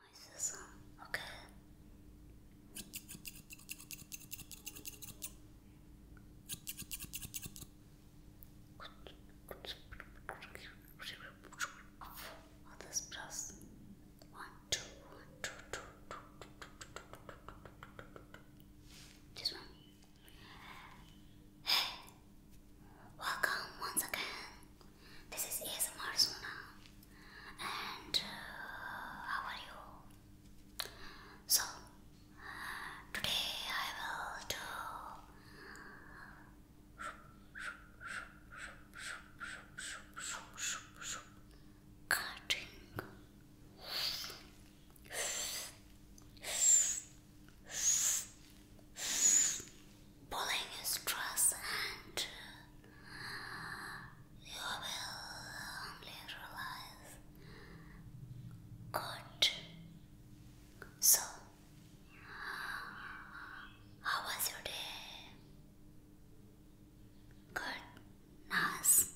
my sister, okay? Others press one, two, one, two, two, two, two, two, two, two, two, two. This one. Hey, welcome once again this is ASMR Sona. And uh, how are you? So, today I will do cutting pulling stress and you will only realize good. So, how was your day? Good, nice.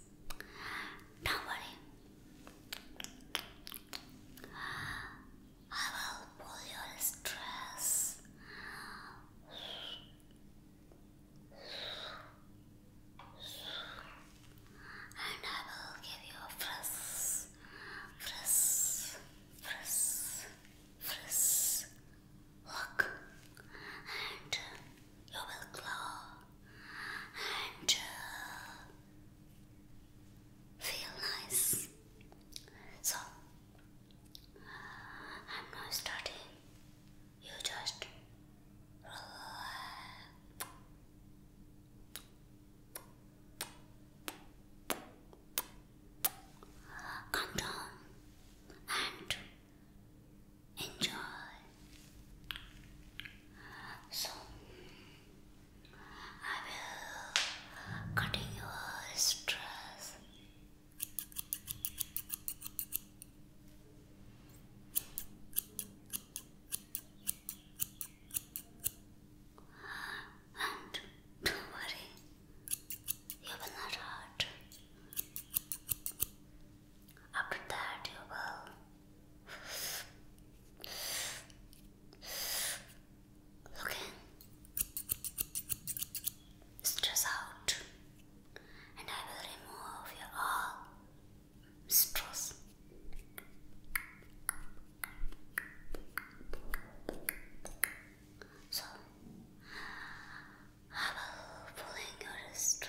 Don't worry. I will pull your stress. And I will give you a frisk, frisk, frisk, look. And you will glow and uh, uh, feel nice. So, I'm not studying. You just relax. Come down and enjoy. So, I will cutting your stress. And don't worry, you will not hurt. After that, you will Okay. Stress out, and I will remove your all stress. So I will pulling your stress.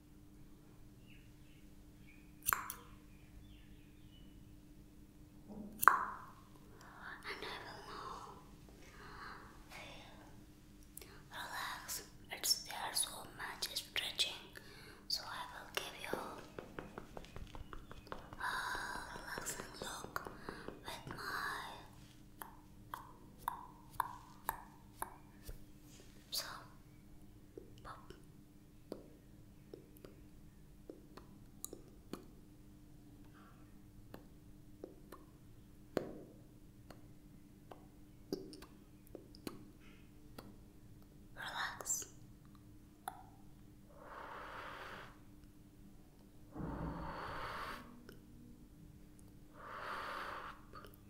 I will now feel It's there so much stretching, so I will give you a relaxing look with my so, Relax.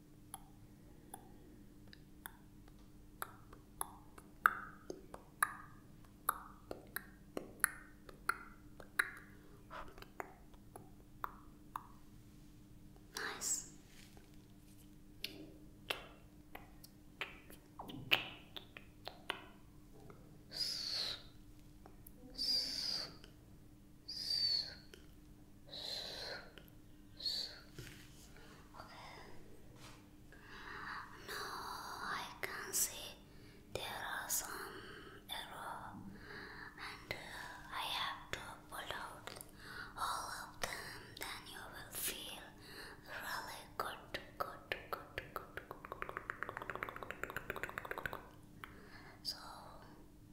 Nice. S Okay. Now I can see there are some arrow and I have to pull out all of them then you will feel really good good good good good good good good good good so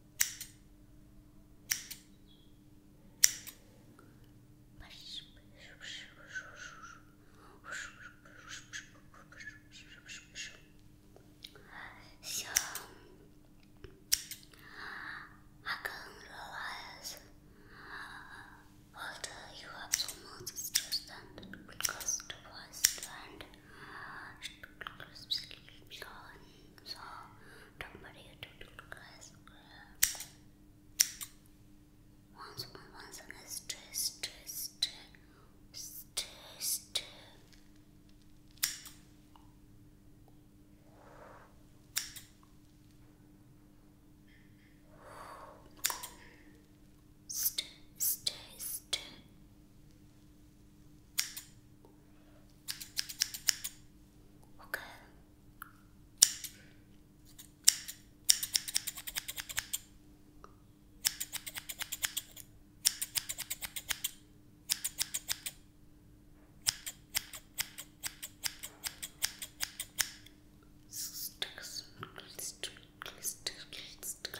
So I can realize although you have so much stress and because the voice so, don't worry, you do guys. Once more, once again, stress, stress, stress, stress, Stay, stay, stay. Okay. Stick, stick, stick, stick, stick, stick, stick,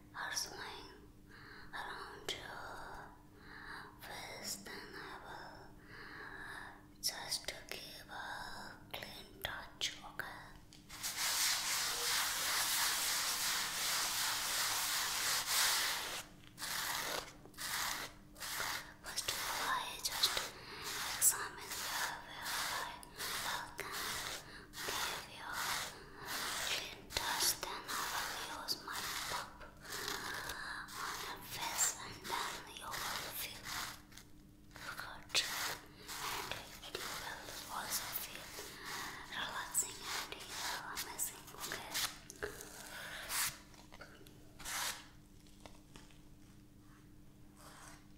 are swaying around your waist, then I will just give a clean touch, okay? First of all, I just examine the where I can give you a dust I will use my pop on your face and then you will feel good and it will also feel relaxing and you will amazing, okay? Okay.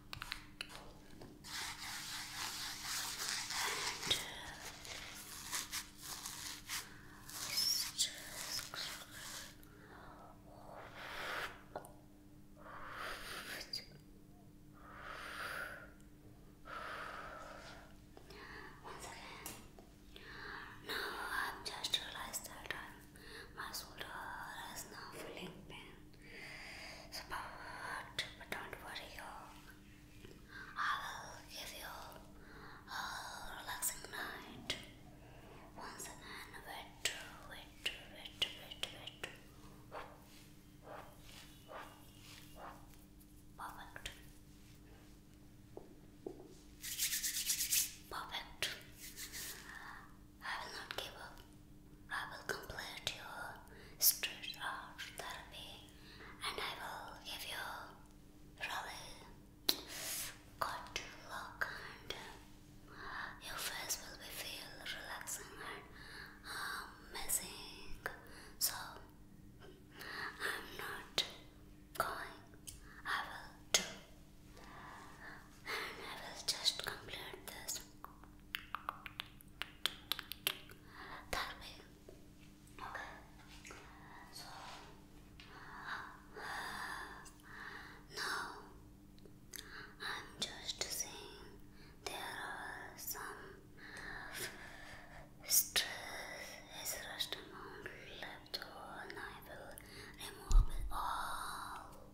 And just once again. Now I've just realized that my shoulder is now feeling but don't worry, I will give you a relaxing night. Once again, wait, wait, wait, wait, wait. Perfect. Perfect. I will not give up. I will complete your stretch art therapy and I will give you really good luck and uh, your face will be feel relaxing and amazing. So I'm not going. I will do and I will just complete this. That way. now I'm just saying there are some stress rest amount left, so I will remove it all.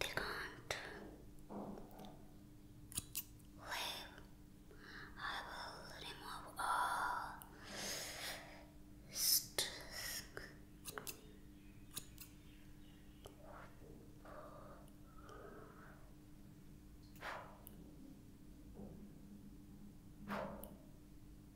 They can't leave. I will remove all stress.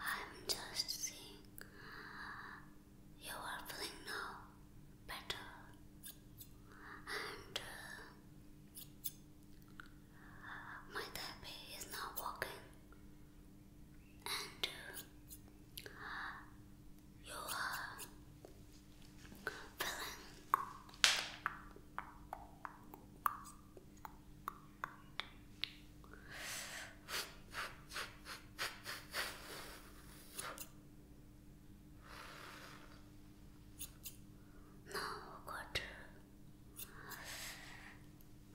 I'm just seeing you are feeling now better and uh, my therapy is not working, and uh, you are uh, feeling now, got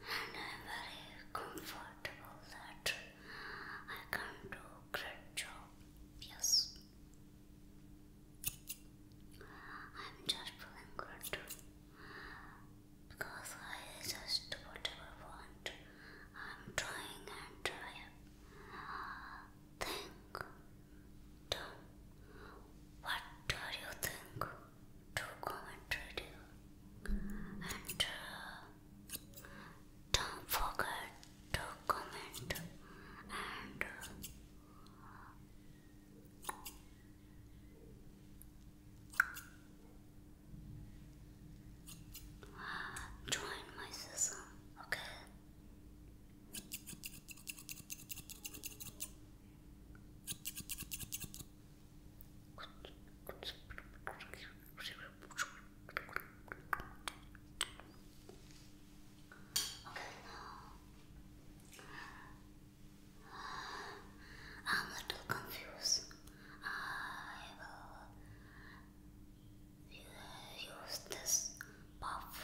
I'm very comfortable that I can do great job. Yes, I'm just feeling good because I just whatever I want. I'm trying and trying. Think so, what do you think to commentary do? And uh, don't forget to comment and uh, join my system, okay? now I'm a little confused. I will use this puff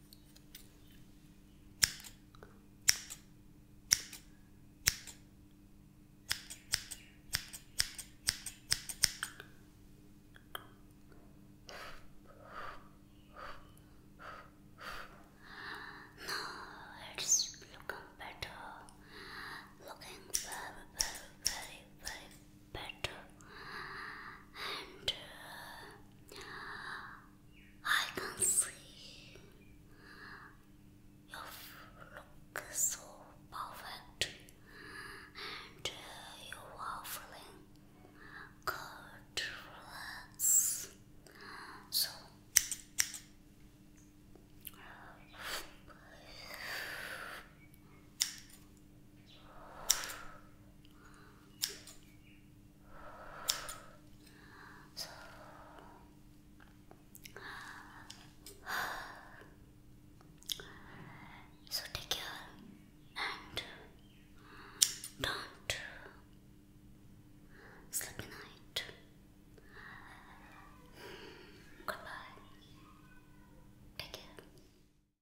Now it's looking better, looking very, very, very, very better and uh, I can see you look so perfect and uh, you are feeling good relax so so take care and don't sleep at Goodbye. Take care.